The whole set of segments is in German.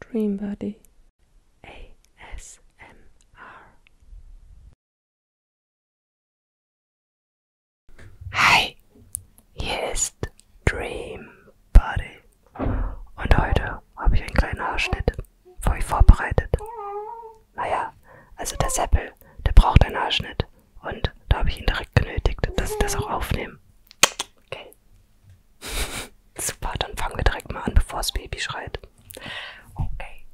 Dreambody ASMR. Hi, hier ist Dreambody und heute habe ich einen kleinen Haarschnitt für euch vorbereitet. Naja, also der Seppel, der braucht einen Haarschnitt und da habe ich ihn direkt genötigt, dass ich das auch aufnehme. Okay. Super, dann fangen wir direkt mal an, bevor das Baby schreit. Okay.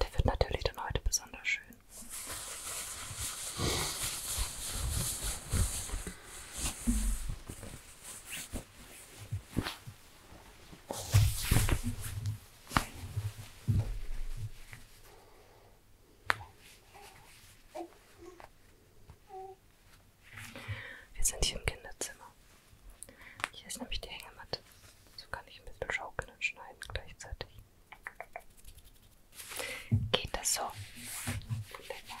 Der wird natürlich dann heute besonders schön. Wir sind hier im Kinderzimmer. Hier ist nämlich die Hängematte. So kann ich ein bisschen schaukeln und schneiden gleichzeitig. Geht das so? Lecker.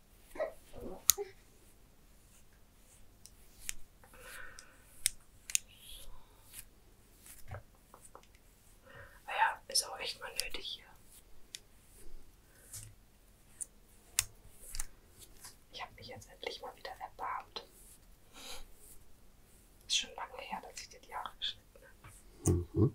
Naja, ist auch echt mal nötig hier. Ich habe mich jetzt endlich mal wieder erbarmt. Ist schon lange her, dass ich dir die Haare geschnitten habe. Mhm.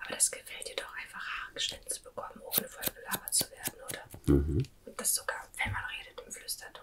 Aber das gefällt dir doch einfach, Haargeschnitten zu bekommen, ohne voll belabert zu werden, oder? Mhm. Und das sogar, wenn man redet, im Flüsterton.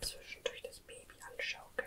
Zwischendurch das Baby anschaukeln.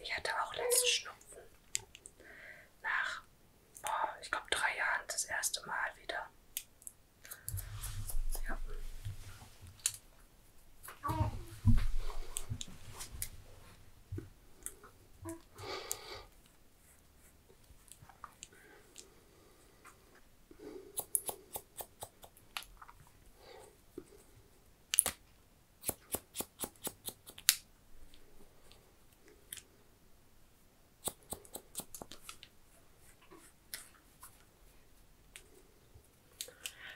Ich hatte auch letzten Schnupfen. Nach, oh, ich glaube, drei Jahren das erste Mal wieder. Ja.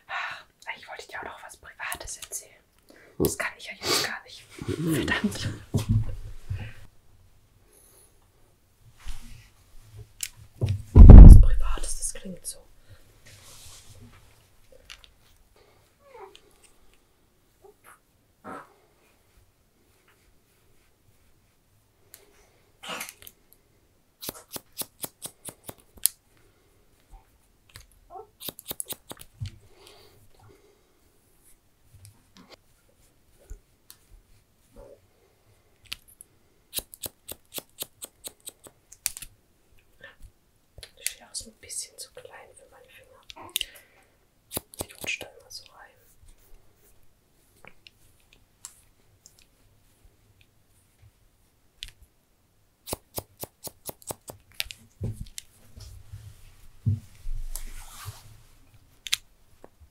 Ah, ich wollte dir auch noch was Privates erzählen. Hm. Das kann ich ja jetzt gar nicht. Hm. Verdammt. Was Privates, das klingt so. Die Schere ist ein bisschen zu klein für meine Finger. Ich rutsche da immer so rein.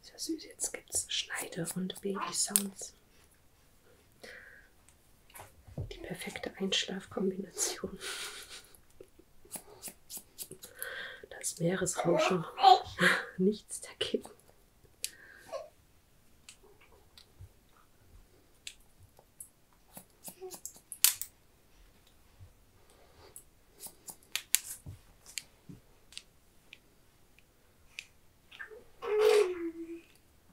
Sehr süß, jetzt gibt es Schneide- und Baby-Sounds. Die perfekte Einschlafkombination. Das Meeresrauschen nichts dagegen.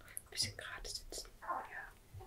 Ein bisschen gerade sitzen. Ja.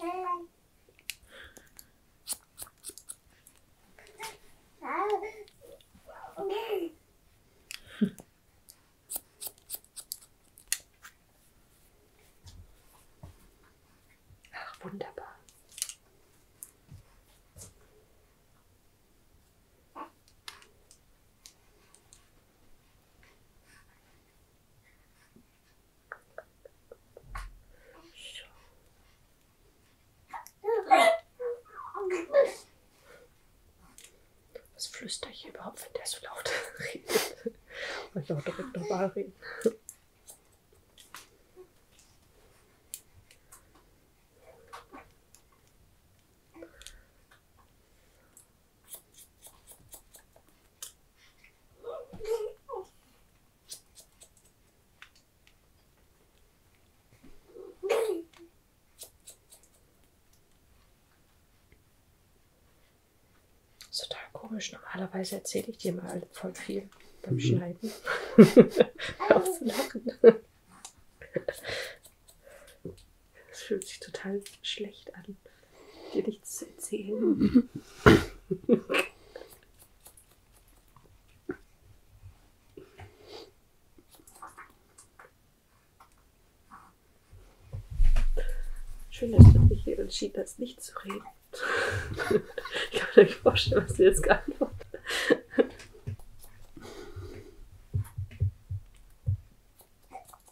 Ach, wunderbar. So. Was flüstere ich überhaupt, wenn der so laut redet? Wollte auch direkt normal reden. Das ist total komisch. Normalerweise erzähle ich dir mal voll viel beim mhm. Schneiden. Aufzulachen. Es fühlt sich total schlecht an, dir nichts zu erzählen. Schön, dass du dich hier entschieden hast, nicht zu reden. ich kann mir nicht vorstellen, was du jetzt geantwortet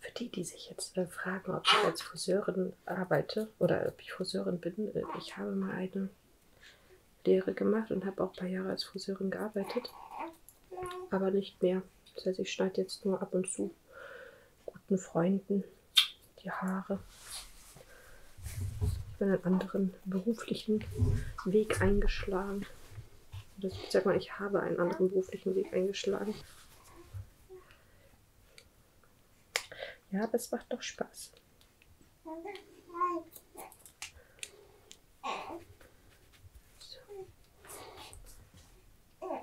Für die, die sich jetzt äh, fragen, ob ich als Friseurin arbeite oder ob ich Friseurin bin, äh, ich habe mal eine Lehre gemacht und habe auch ein paar Jahre als Friseurin gearbeitet, aber nicht mehr. Das heißt, ich schneide jetzt nur ab und zu guten Freunden die Haare. Ich bin einen anderen beruflichen Weg eingeschlagen. Ich sag mal, ich habe einen anderen beruflichen Weg eingeschlagen. Ja, aber es macht doch Spaß. So. So.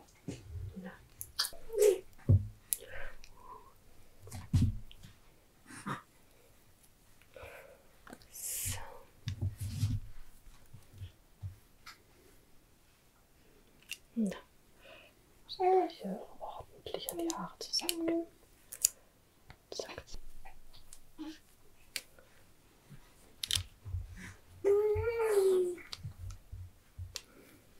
Na. Hier ordentlich an die Haare zusammen. Zack.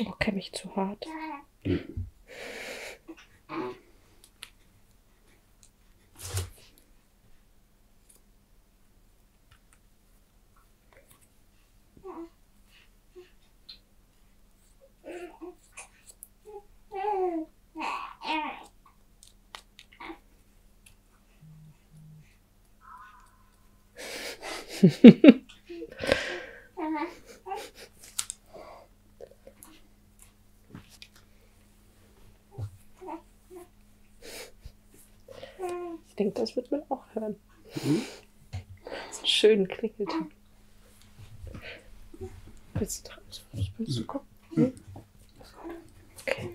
Oh, kämme ich zu hart ich denke, das wird man auch hören. Mhm. Das ist schön klingelt. Willst du da willst du kommen? Hm? hm. Okay.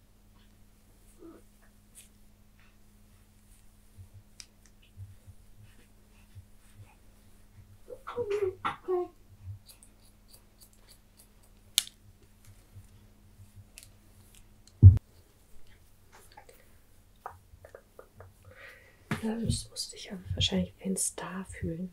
Das musst du dich ja wahrscheinlich wie ein Star fühlen.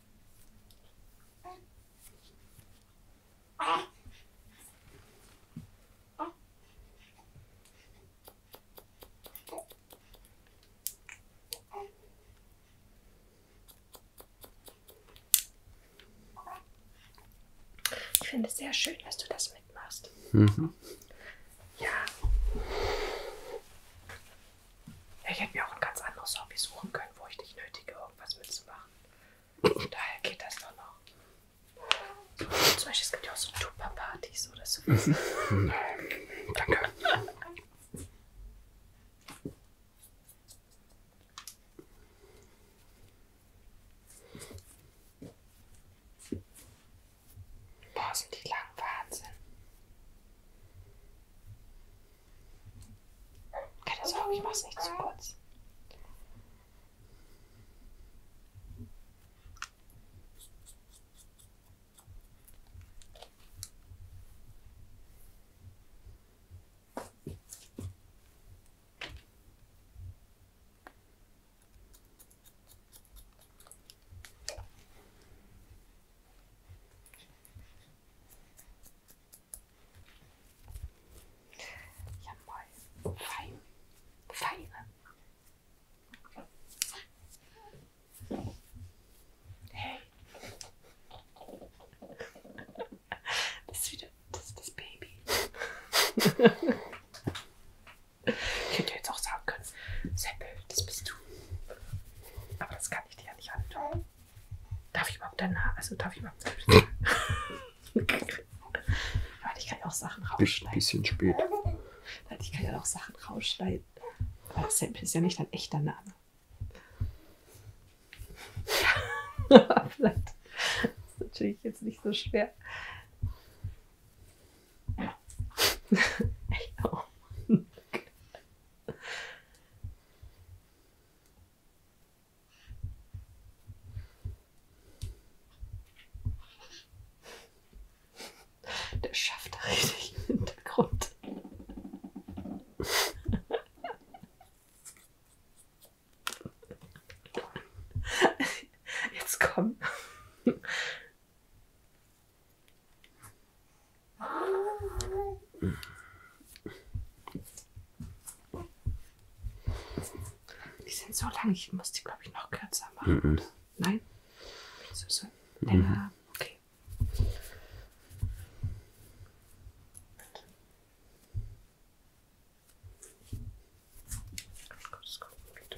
Ich finde es sehr schön, dass du das mitmachst. Mhm. Ja. Ich hätte mir auch ein ganz anderes Hobby suchen können, wo ich nicht nötige, irgendwas mitzumachen. Daher geht das doch noch. Zum Beispiel, es gibt ja auch so Tupper-Partys oder so. Danke. Boah, sind die lang Wahnsinn. Keine Sorge, ich mach's nicht zu kurz. Jawohl. Fein. Feine. Ne? Hey. Das ist wieder das, ist das Baby. ich hätte jetzt auch sagen können, Seppel, das bist du. Aber das kann kann ich dir ja nicht antun. Darf ich überhaupt deine Also darf ich überhaupt. Weil ich kann ja auch Sachen rausschneiden. Bisschen spät. Ich kann ja auch Sachen rausschneiden. Aber das ist ja nicht dein echter Name. Vielleicht ist natürlich jetzt nicht so schwer. Echt oh. auch. Der schafft da richtig im Hintergrund. Jetzt komm. Die sind so lang, ich muss die, glaube ich, noch kürzer machen. Mm -mm. Nein? So, so. Länger. Mm okay. Oh Gut, das kommt wieder.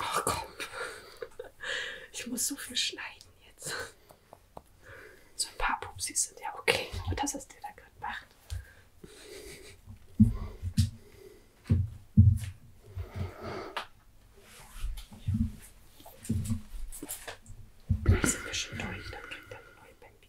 Ach komm. Ich muss so viel schneiden jetzt. So ein paar Pupsis sind ja okay. Aber das, was der da gerade macht. Da sind wir schon durch, dann kriegt er eine neue Baby.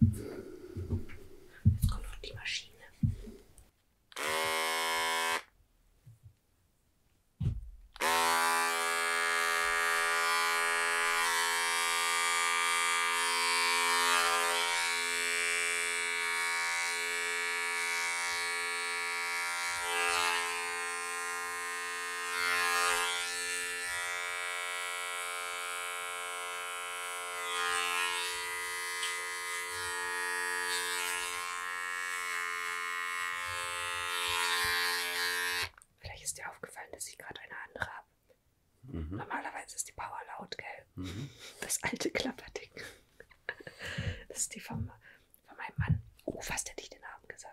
Jetzt kommt noch die Maschine. Vielleicht ist dir aufgefallen, dass ich gerade eine andere habe. Mhm. Normalerweise ist die Power laut, gell? Mhm. Das alte Klapperding. Das ist die vom von meinem Mann. Oh, fast hätte ich den Namen gesagt.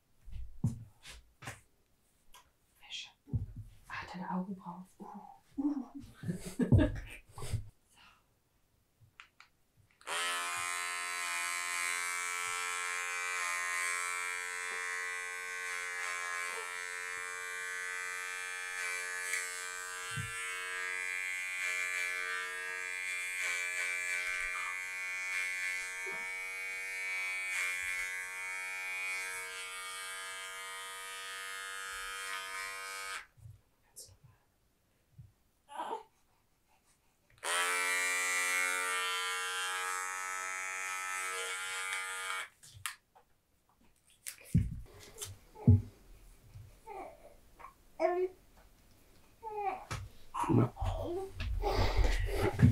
Wäsche. Ah, deine Augenbrauen. Uh. Uh. so. That's not bad. Oh.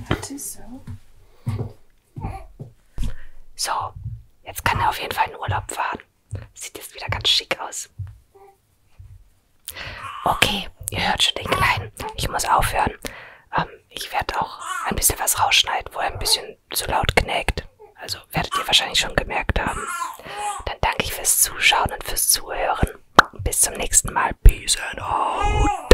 That is so. So, jetzt kann er auf jeden Fall in Urlaub fahren. Sieht jetzt wieder ganz schick aus. Okay, ihr hört schon den Kleinen. Ich muss aufhören. Ähm, ich werde auch ein bisschen was rausschneiden, wo er ein bisschen zu laut knägt. Also werdet ihr wahrscheinlich schon gemerkt haben. Dann danke ich fürs Zuschauen und fürs Zuhören. Bis zum nächsten Mal. Peace and out.